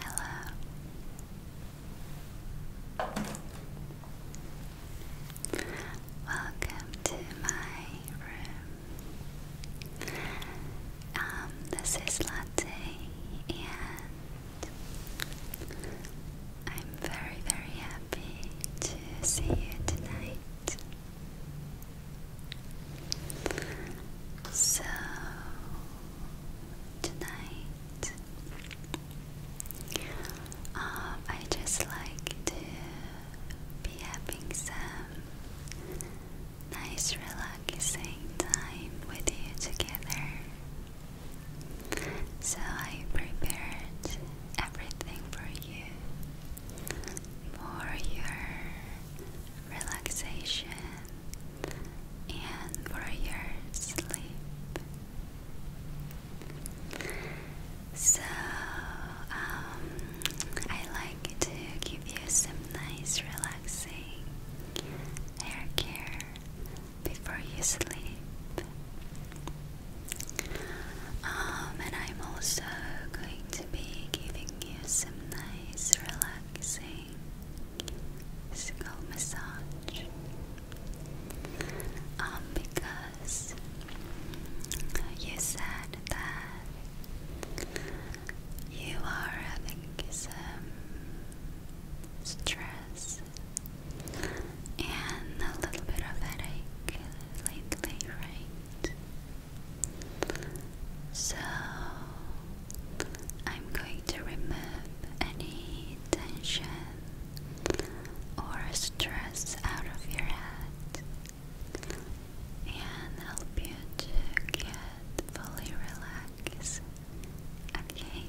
Hello. Welcome to my room. Um, this is Latte and I'm very, very happy to see you tonight. So, tonight, um, I just like to be having some nice, relaxing time with you together. So I prepared everything for you for your relaxation and for your sleep. So um, I like to give you some nice relaxing hair care before you sleep. Um, and I'm also going to be giving you some nice, relaxing skull massage. Um, because you said that you are having some stress and a little bit of headache lately, right? So I'm going to remove any tension or stress out of your head and help you to get fully relaxed. Okay.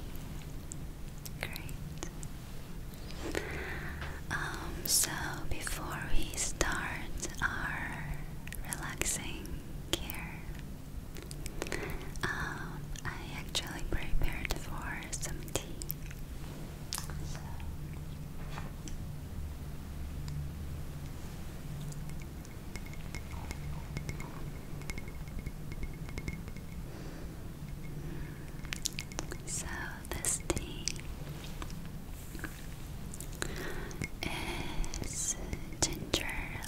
Great. Um, so before we start our relaxing care, um, I actually prepared for some tea. So, this tea is ginger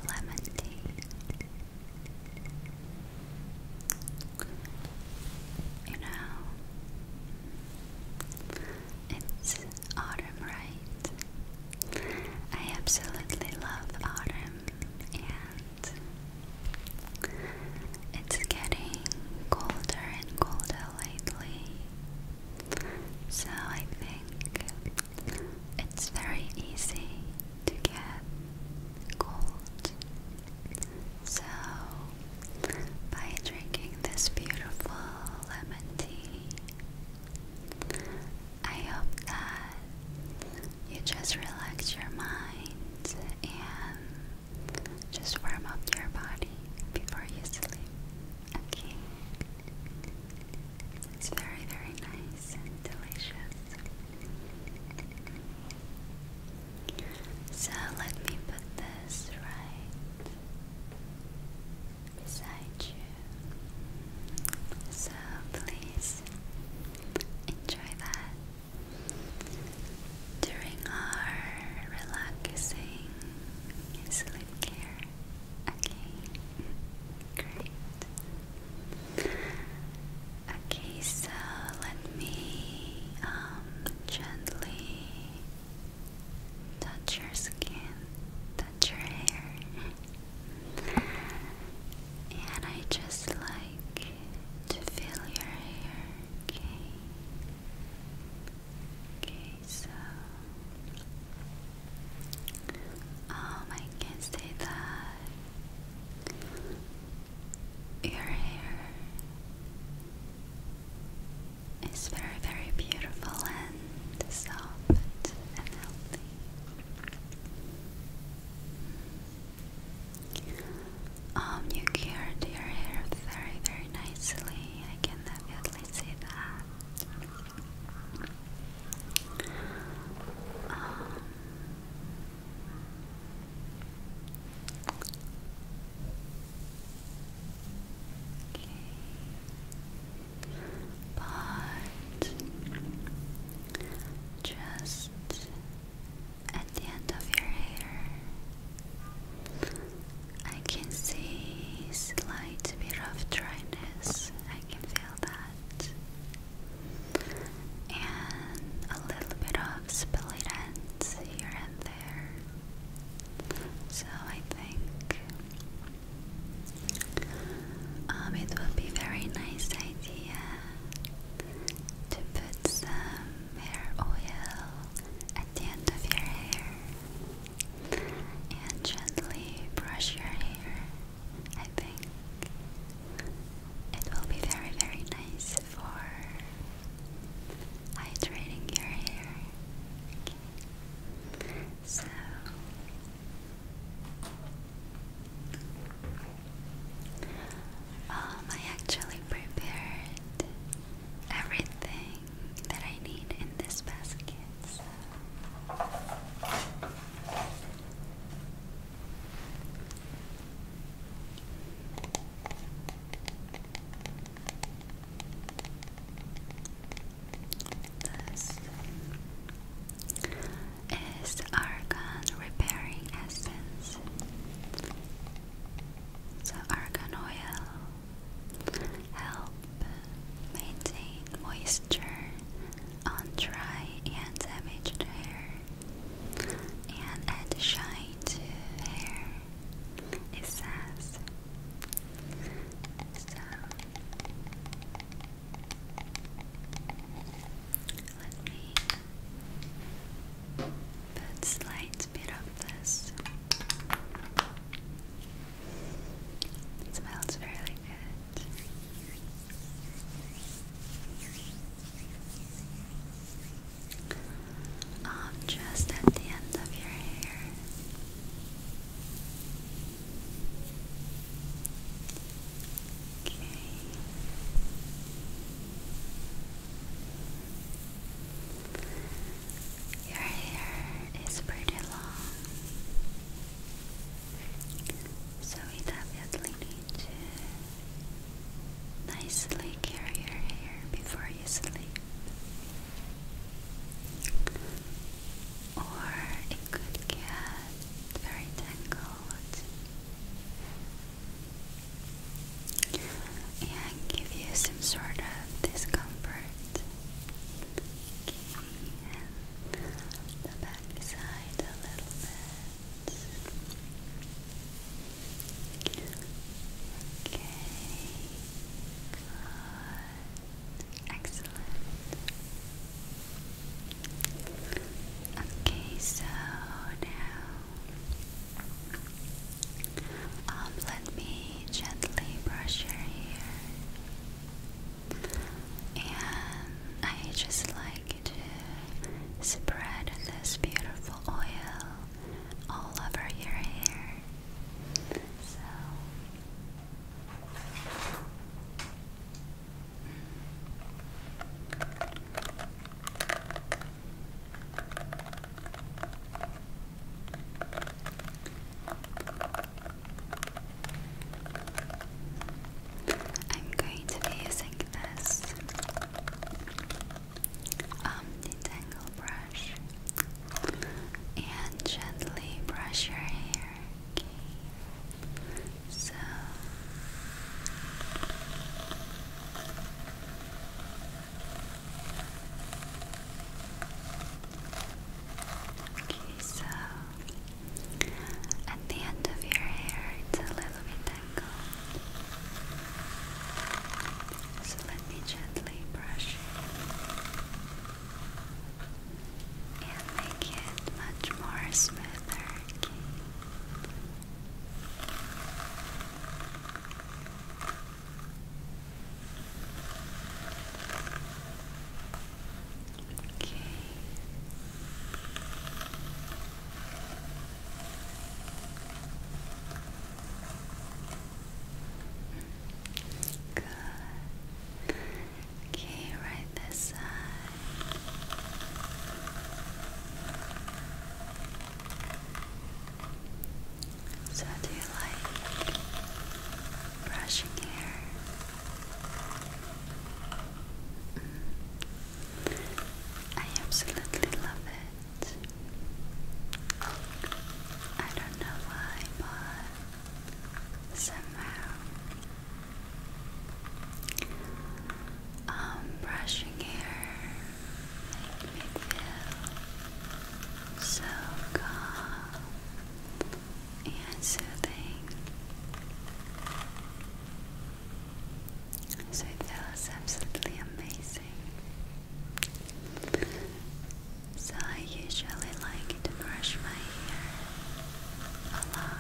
lemon tea. You know, it's autumn, right? I absolutely love autumn and it's getting colder and colder lately. So I think it's very easy to get cold. So by drinking this beautiful lemon tea, I hope that you just relax your mind and just warm up your body before you sleep. Okay. It's very, very nice and delicious. So let me put this right beside you. So please Enjoy that. During our relaxing sleep care. Okay, great. Okay, so let me um, gently touch your skin, touch your hair, and I just like to feel your hair, okay? Okay, so um I can say that your hair is very very beautiful and soft and healthy. Um, you cured your hair very, very nicely. I can definitely see that. Um, but just at the end of your hair. I can see slight bit of dryness. I can feel that. And a little bit of spilly ends here and there. So I think um, it would be very nice idea to put some hair oil at the end of your hair and gently brush your hair. I think it will be very, very nice for hydrating your hair. So. Um, I actually prepared everything that I need in this basket is argan repairing essence. So argan oil help maintain moisture on dry and damaged hair and add shine to hair. It says let me put a slight bit of this. It smells really good. Um, just at the end of your hair. Okay. Your hair is pretty long, so we definitely need to nicely care your hair before you sleep. Or it could get very tangled and give you some sort of discomfort. Okay, and the back a little bit. Okay, good. Excellent. Okay, so now um, let me gently brush your hair, and I just like to spread this beautiful oil all over your hair. So. I'm going to be using this um, detangle brush and gently brush your hair. So Okay, so at the end of your hair it's a little bit tangled. So let me gently brush it and make it much more smoother. Okay. Okay. Good. Okay, right this side. So, do you like brushing hair? Mm. I absolutely love it. I don't know why, but somehow um, brushing hair made me so calm and soothing. So it feels absolutely amazing. So I usually like to brush my hair a lot.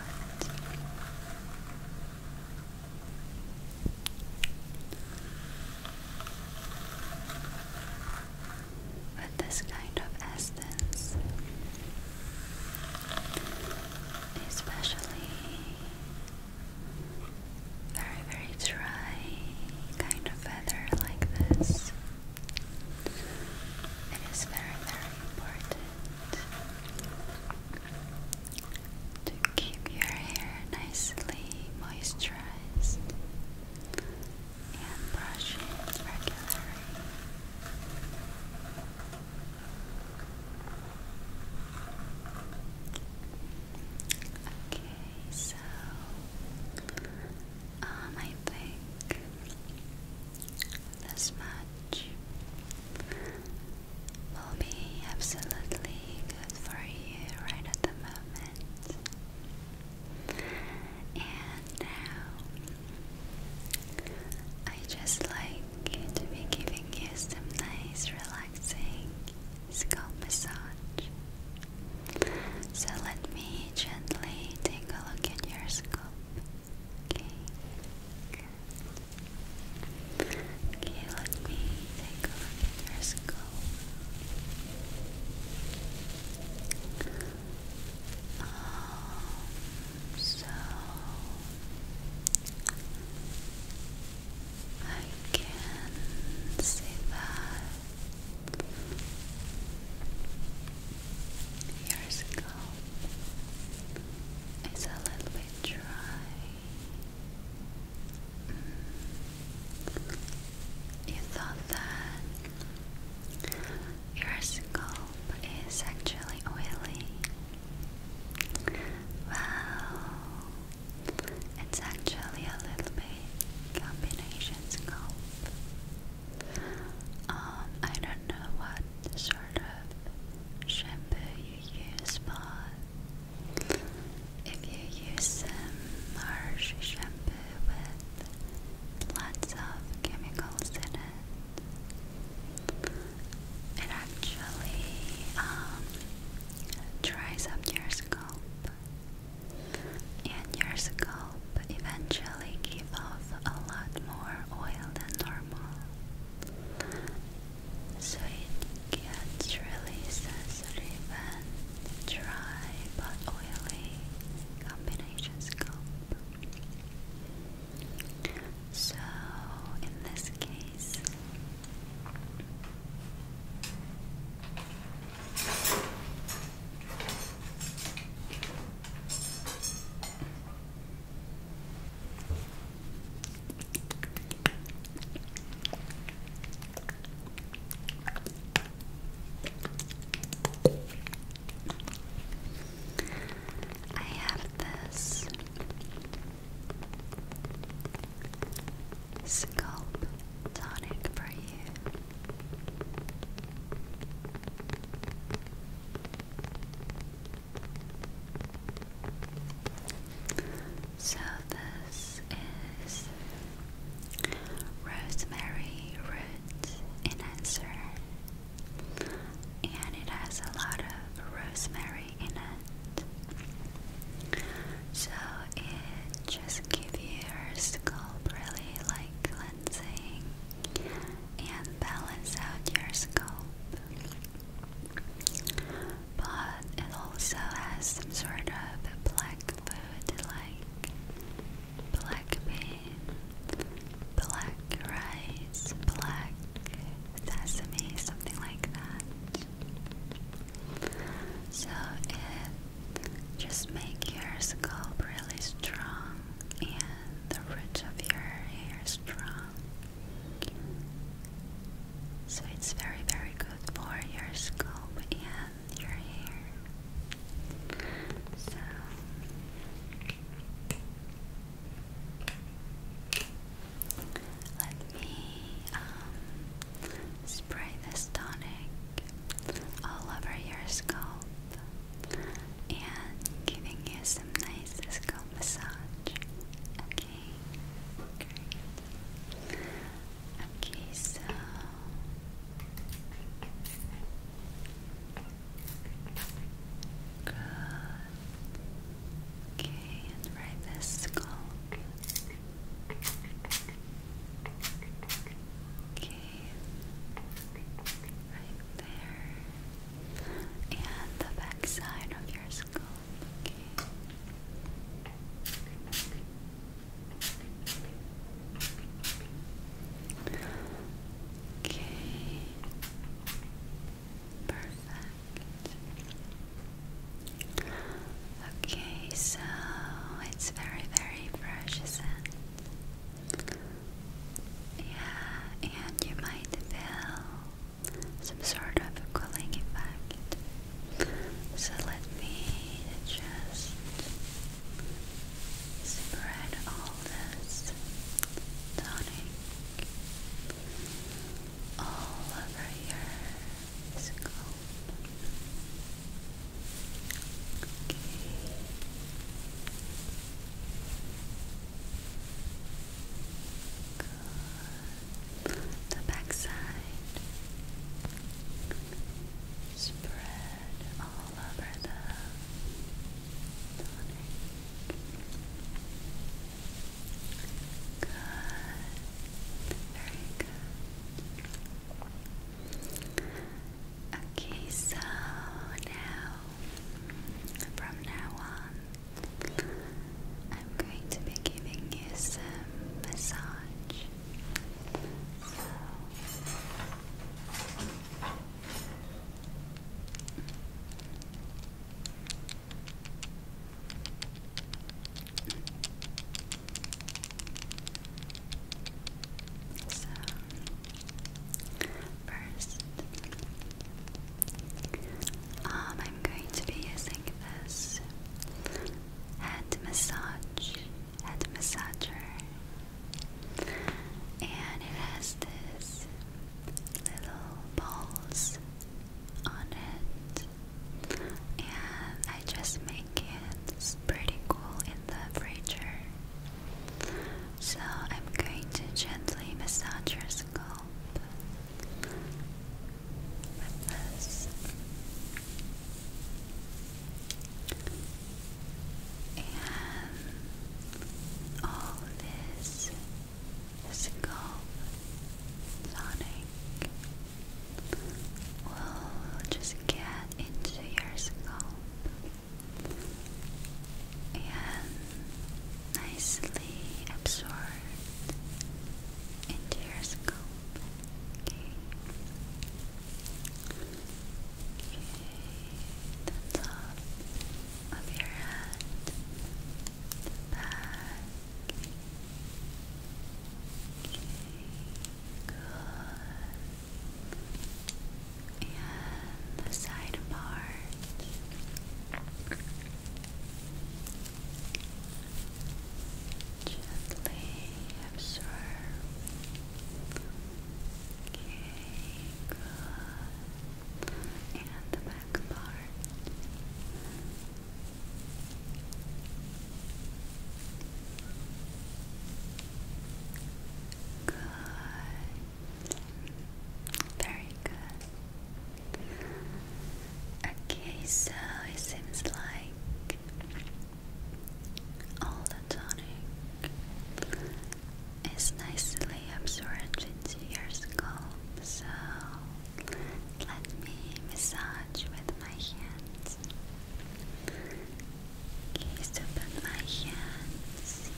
With this kind of essence, especially very, very dry kind of feather like this, it is very, very important to keep your hair nicely moisturized and brush regularly. Okay, so um, I think this much will be absolutely good for you right at the moment. And now I just like to be giving you some nice relaxing scalp massage. So let me gently take a look at your scalp. Okay. Okay, let me take a look at your skull. Um, so I can see that your skull it's a little bit dry. You thought that your scalp is actually oily. Wow, it's actually a little bit combination scalp. Um, I don't know what's sort shampoo you use, but if you use some harsh shampoo with lots of chemicals in it, it actually um, dries up your scalp. And your scalp eventually give off a lot more oil than normal. So it gets really sensitive and dry but oily combination scope. So in this case I have this scalp tonic for you. So this is rosemary root enhancer, and it has a lot of rosemary in it. So it just gives your scalp really like cleansing and balance out your scalp. But it also has some sort of black food like black bean, black rice, black sesame, something like that. So it just makes your scalp really strong and the roots of your hair strong. So it's very, very good for your scalp and your hair. So let me um, spray this tonic all over your scalp and giving you some nice scalp massage. Okay, great. Okay, so good. Okay, and right this skull. Okay, right there and the backside of your skull. Okay. Okay. Perfect. Okay, so it's very, very fresh, is yeah, and you might feel some sort of cooling effect. So let me just spread all this tonic all over your scalp. Good. The back Spread all over the tonic. Good. Very good. Okay, so now, from now on, I'm going to be giving you some massage. So First, um, I'm going to be using this head massage, head massager, and it has this little balls on it. And I just make it pretty cool in the fridge so I'm going to gently massage your scalp with this. And all this physical tonic will just get into your scalp and nicely absorbed into your scalp. Okay. Okay, the top your head, Okay, good and the side part. Gently absorb. good. And the back part. Good. Very good. Okay, so it seems like all the tonic is nicely absorbed into your scalp. So let me massage with my hands. Okay, so my hands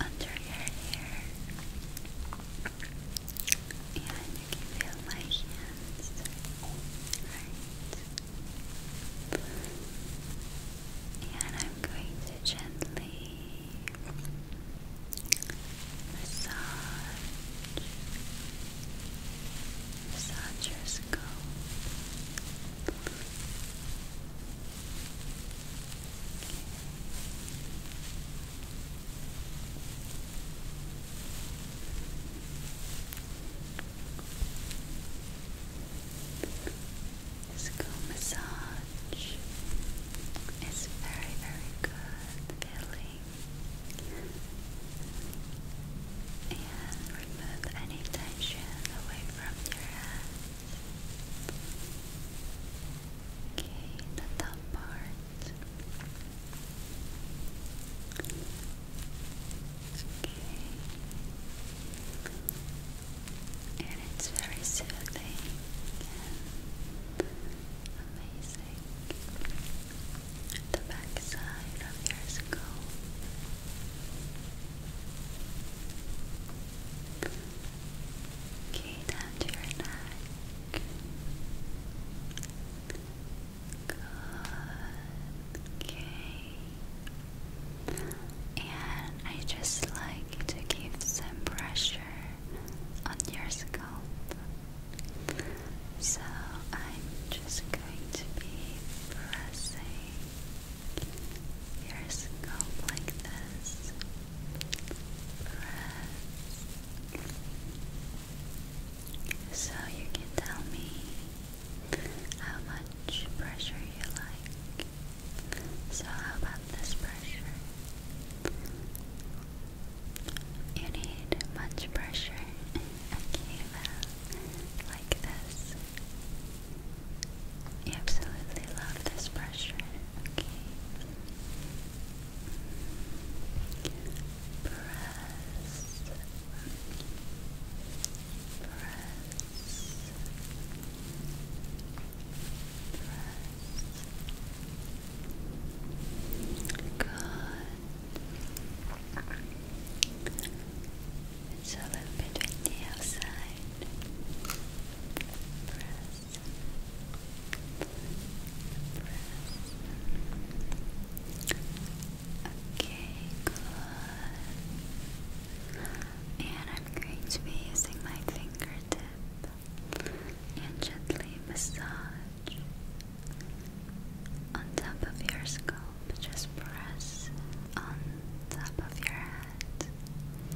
under your hair. And you can feel my hands. Right. And I'm going to gently massage, massage your scalp. This comb massage is very, very good feeling and remove any tension away from your head. Okay, the top part. Okay. And it's very soothing amazing. The back of your skull. Okay, down to your neck. Good. Okay. And I just like to give some pressure on your scalp. So I'm just going to be pressing your scalp like this. So you can tell me how much pressure you like. So how about this pressure? You need much pressure. okay, well, uh, like this. You absolutely love this pressure. Okay. Press. Press. Press. Good. It's a little bit with the outside. Press. Okay, good. And I'm going to be using my fingertip and gently massage on top of your scalp. Just press on top of your head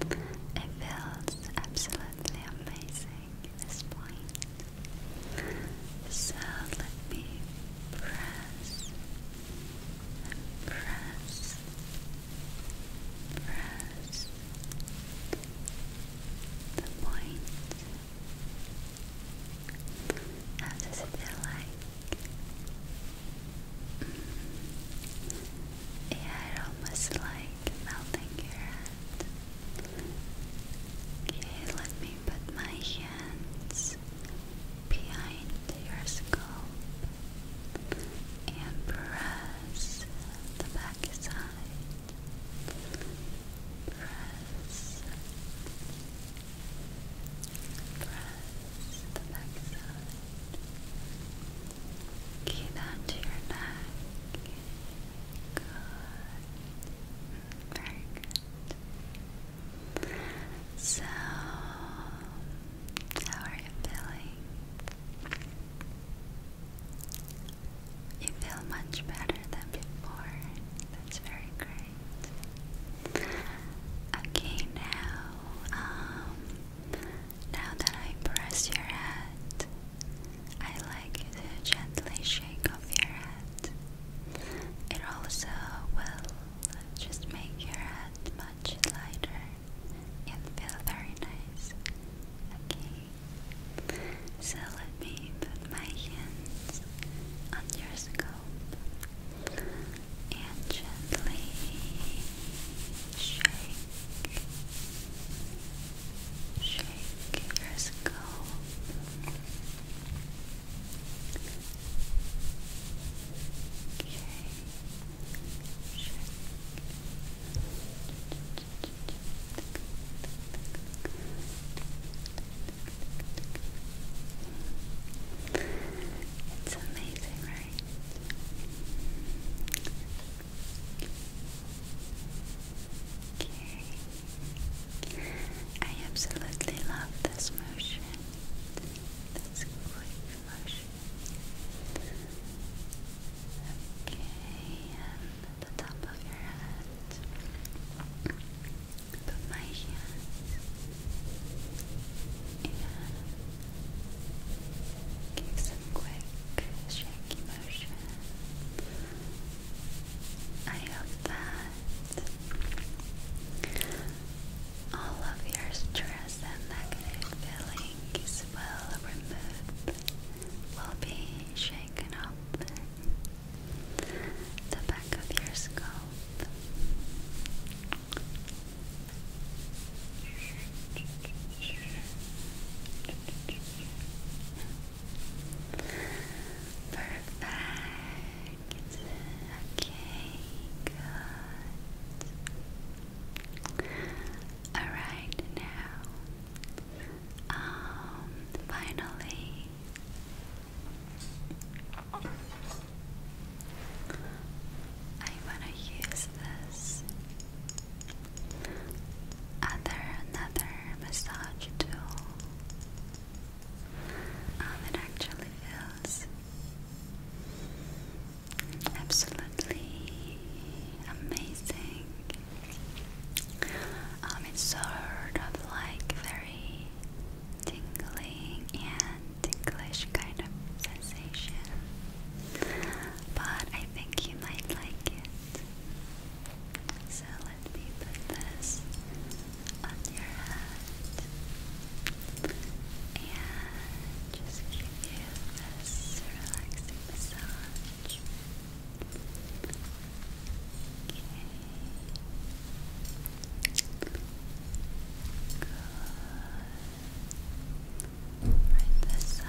it feels absolutely amazing at this point. So let me press press, press the point. How does it feel like? Mm. Yeah, almost like melting your hand. Okay, let me put my hands behind your scalp and press the back side. Press, press the back Key that your neck. Good. Very good. So, how are you feeling? You feel much better than before. That's very great. Okay, now, um, now that I press your head, I like you gently shake off your head. It also will just make your head much lighter and feel very nice. Okay, so let me put my hands on your scalp and gently shake. Shake your skull. Okay. Shake. It's amazing, right? Okay. I absolutely love this motion. This quick motion. Okay, and um, the top of your head. Put my hands. And Give some quick shaky motion. I hope that all of your stress and negative feeling will be shaken up the back of your scalp. Perfect. Okay, good. Alright now. Um finally I wanna use this other another massage tool um, it actually feels absolutely amazing. Um, it's sort of like very tingling and ticklish kind of sensation but I think you might like it. So let me put this on your head and just give you this relaxing massage. Okay. Good. Right this side.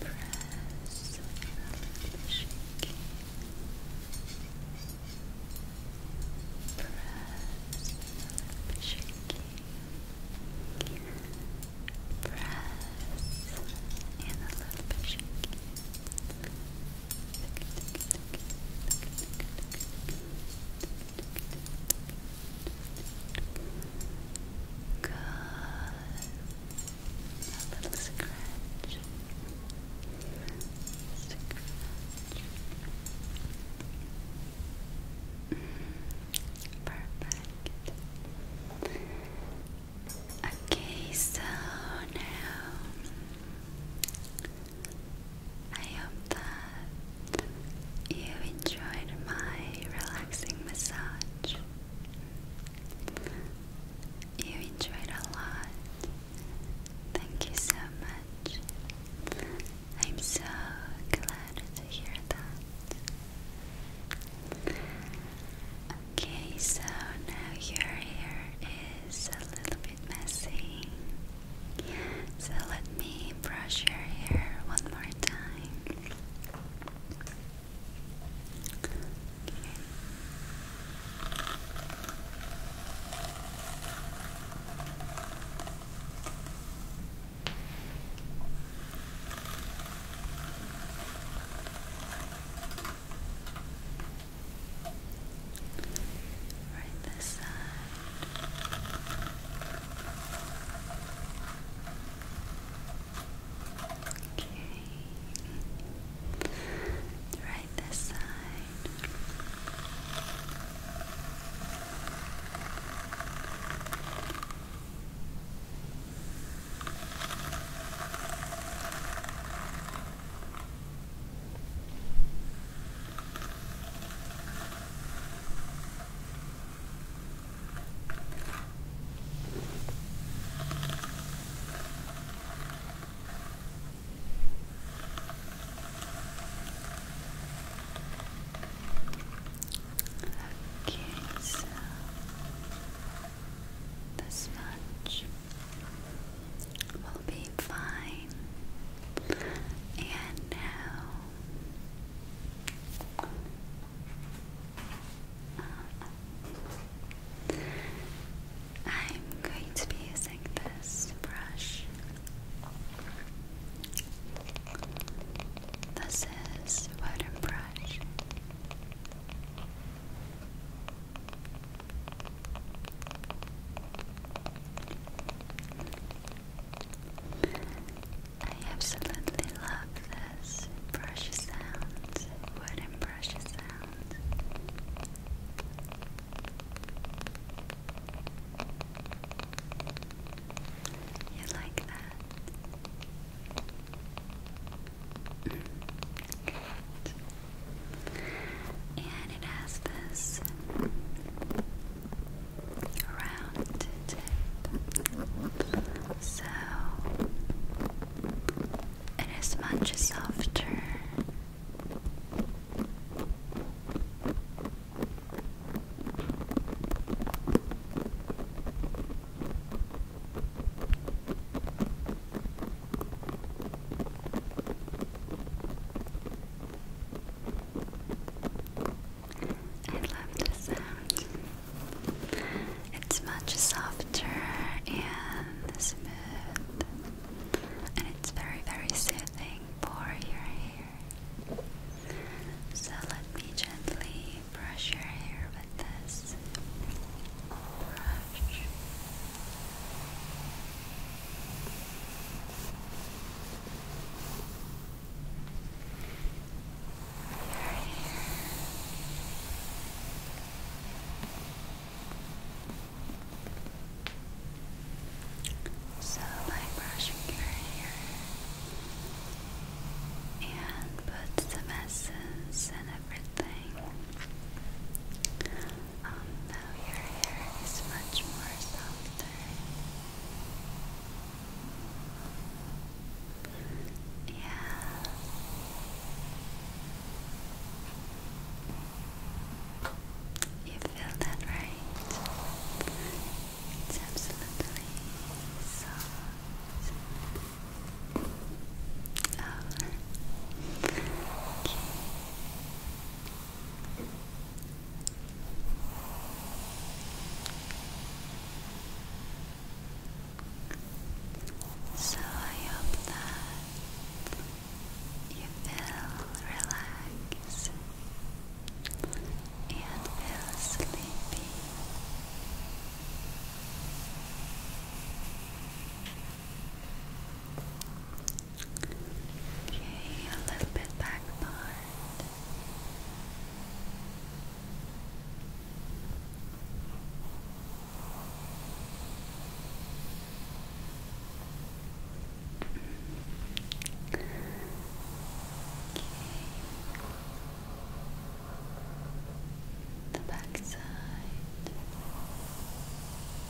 Good. Press without shaking. Press without Press a little bit shaking. Good. A little scratch. perfect. Okay, so now I hope that you enjoyed my relaxing massage. You enjoyed a lot. Thank you so much. I'm so glad to hear that. Okay, so now your hair is a little bit messy. So let me brush your hair one more time. Okay. Okay. Right this side. Okay. Right this side. Okay, so this much will be fine. And now, um, I'm going to be using this brush. This is wooden brush. I absolutely love this brush sound, wooden brush sound. You like that? and it has this round tip, so it is much softer. I love this sound. It's much softer and smooth, and it's very, very soothing for your hair. So let me gently brush your hair with this. Brush, so by brushing your hair and put some essence and everything um, now your hair is much more softer. Yeah. You feel that right? It's absolutely soft. Oh. So I hope that you feel relaxed and feel sleepy. Okay, a little bit back part. Okay. The back side.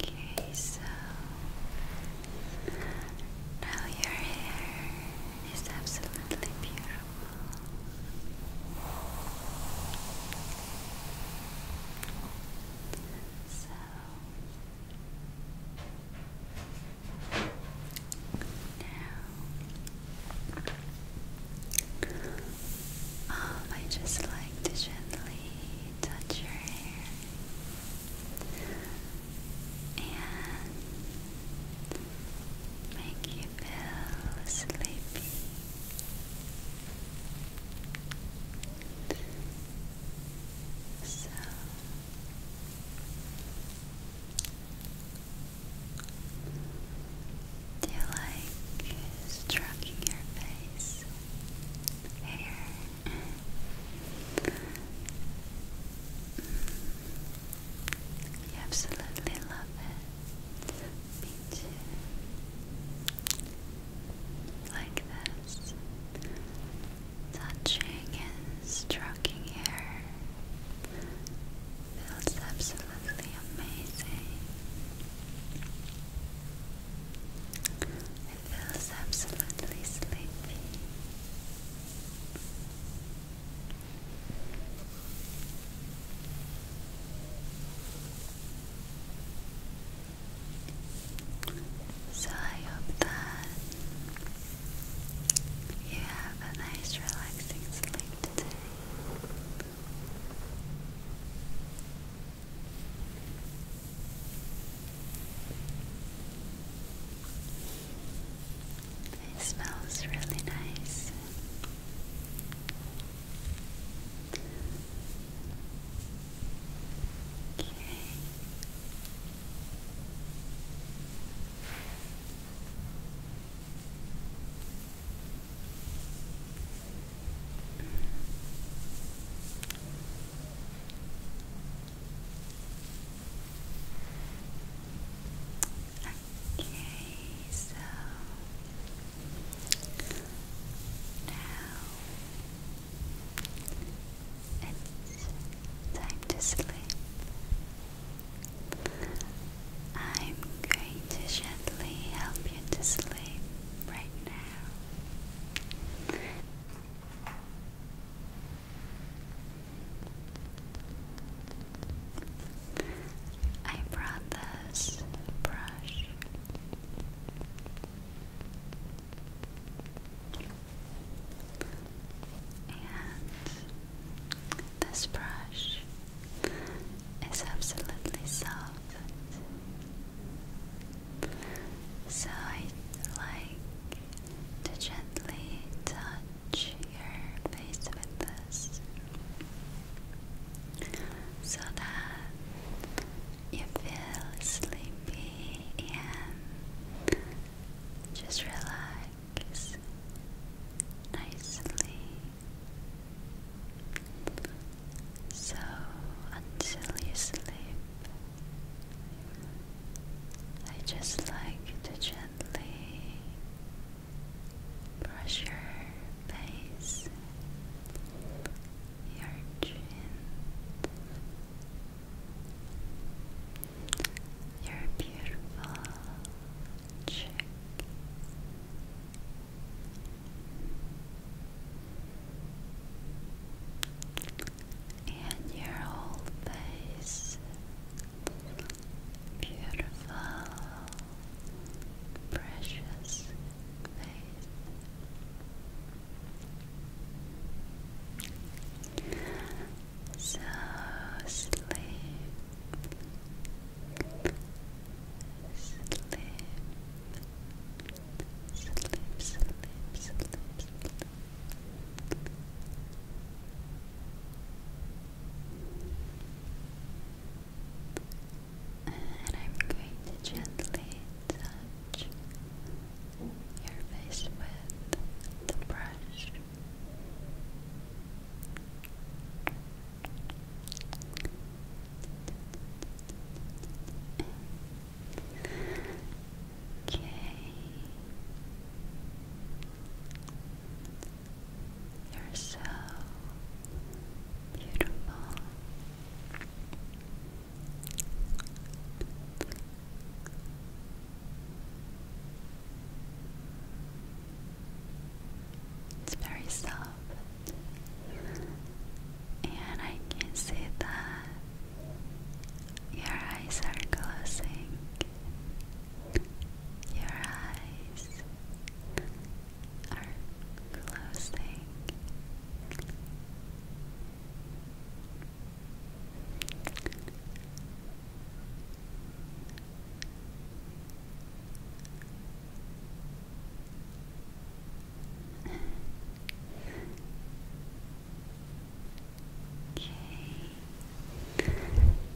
Okay, so now your hair is absolutely beautiful. So now um, I just like to gently touch your hair and make you feel sleepy. So do you like stroking your face? Hair? Mm. You absolutely love it. Like this. Touching and stroking hair Feels absolutely amazing. It feels absolutely sleepy. So I hope that you have a nice relaxing sleep today. It smells really nice. Okay. Okay, so now it's time to sleep. I'm going to gently help you to sleep right now. I brought this brush. And this brush is absolutely soft, so I like to gently touch your face with this so that you feel sleepy and just relax nicely. So until you sleep, I just like to gently brush your face, your chin, your beautiful cheek and your whole face beautiful precious face so sleep Slim, slim, And I'm going to gently touch your face with the brush. Okay. You're so beautiful. It's very soft. And I can see that your eyes are closing. Your eyes are closing. Okay.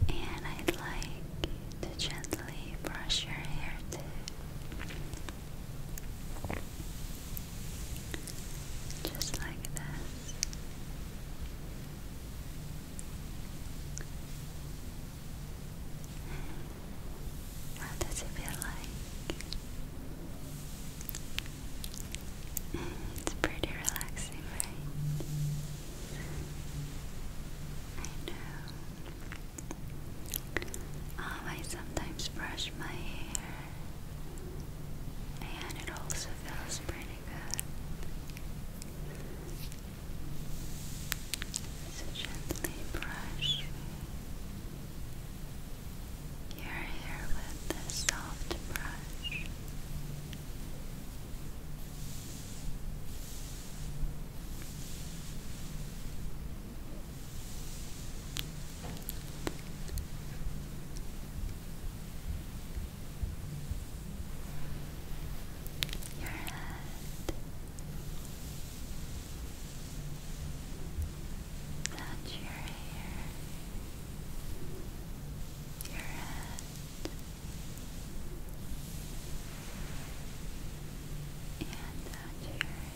And I'd like to gently brush your hair too. Just like this. How does it feel like? Mm, it's pretty relaxing, right? I know. Um, I sometimes brush my hair, and it also feels pretty good. So gently brush your hair with the soft brush. Your head, and your hair, your head, and down your hair.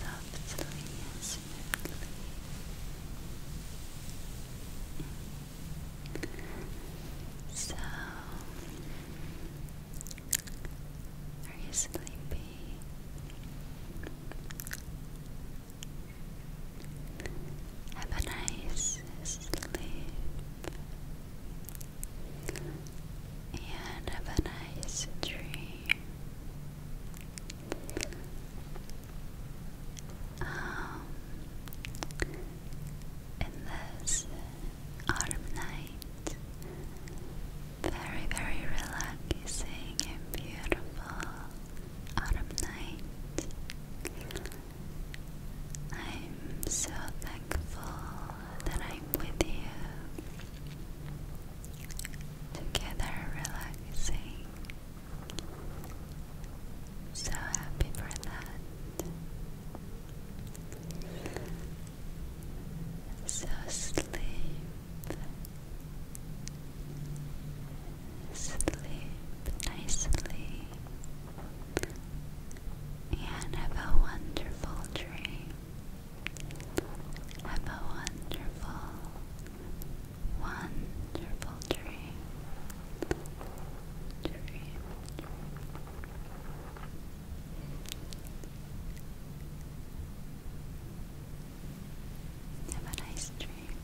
Touch your hair softly and smoothly. So, are you sleepy? Have a nice sleep and have a nice dream in this autumn night. Very, very relaxing and beautiful autumn night. I'm so thankful that I'm with you. Together, relaxing. So happy for that. So sleep, sleep nicely, and have a wonderful dream. Have a wonderful, wonderful dream dream, dream. Have a nice dream.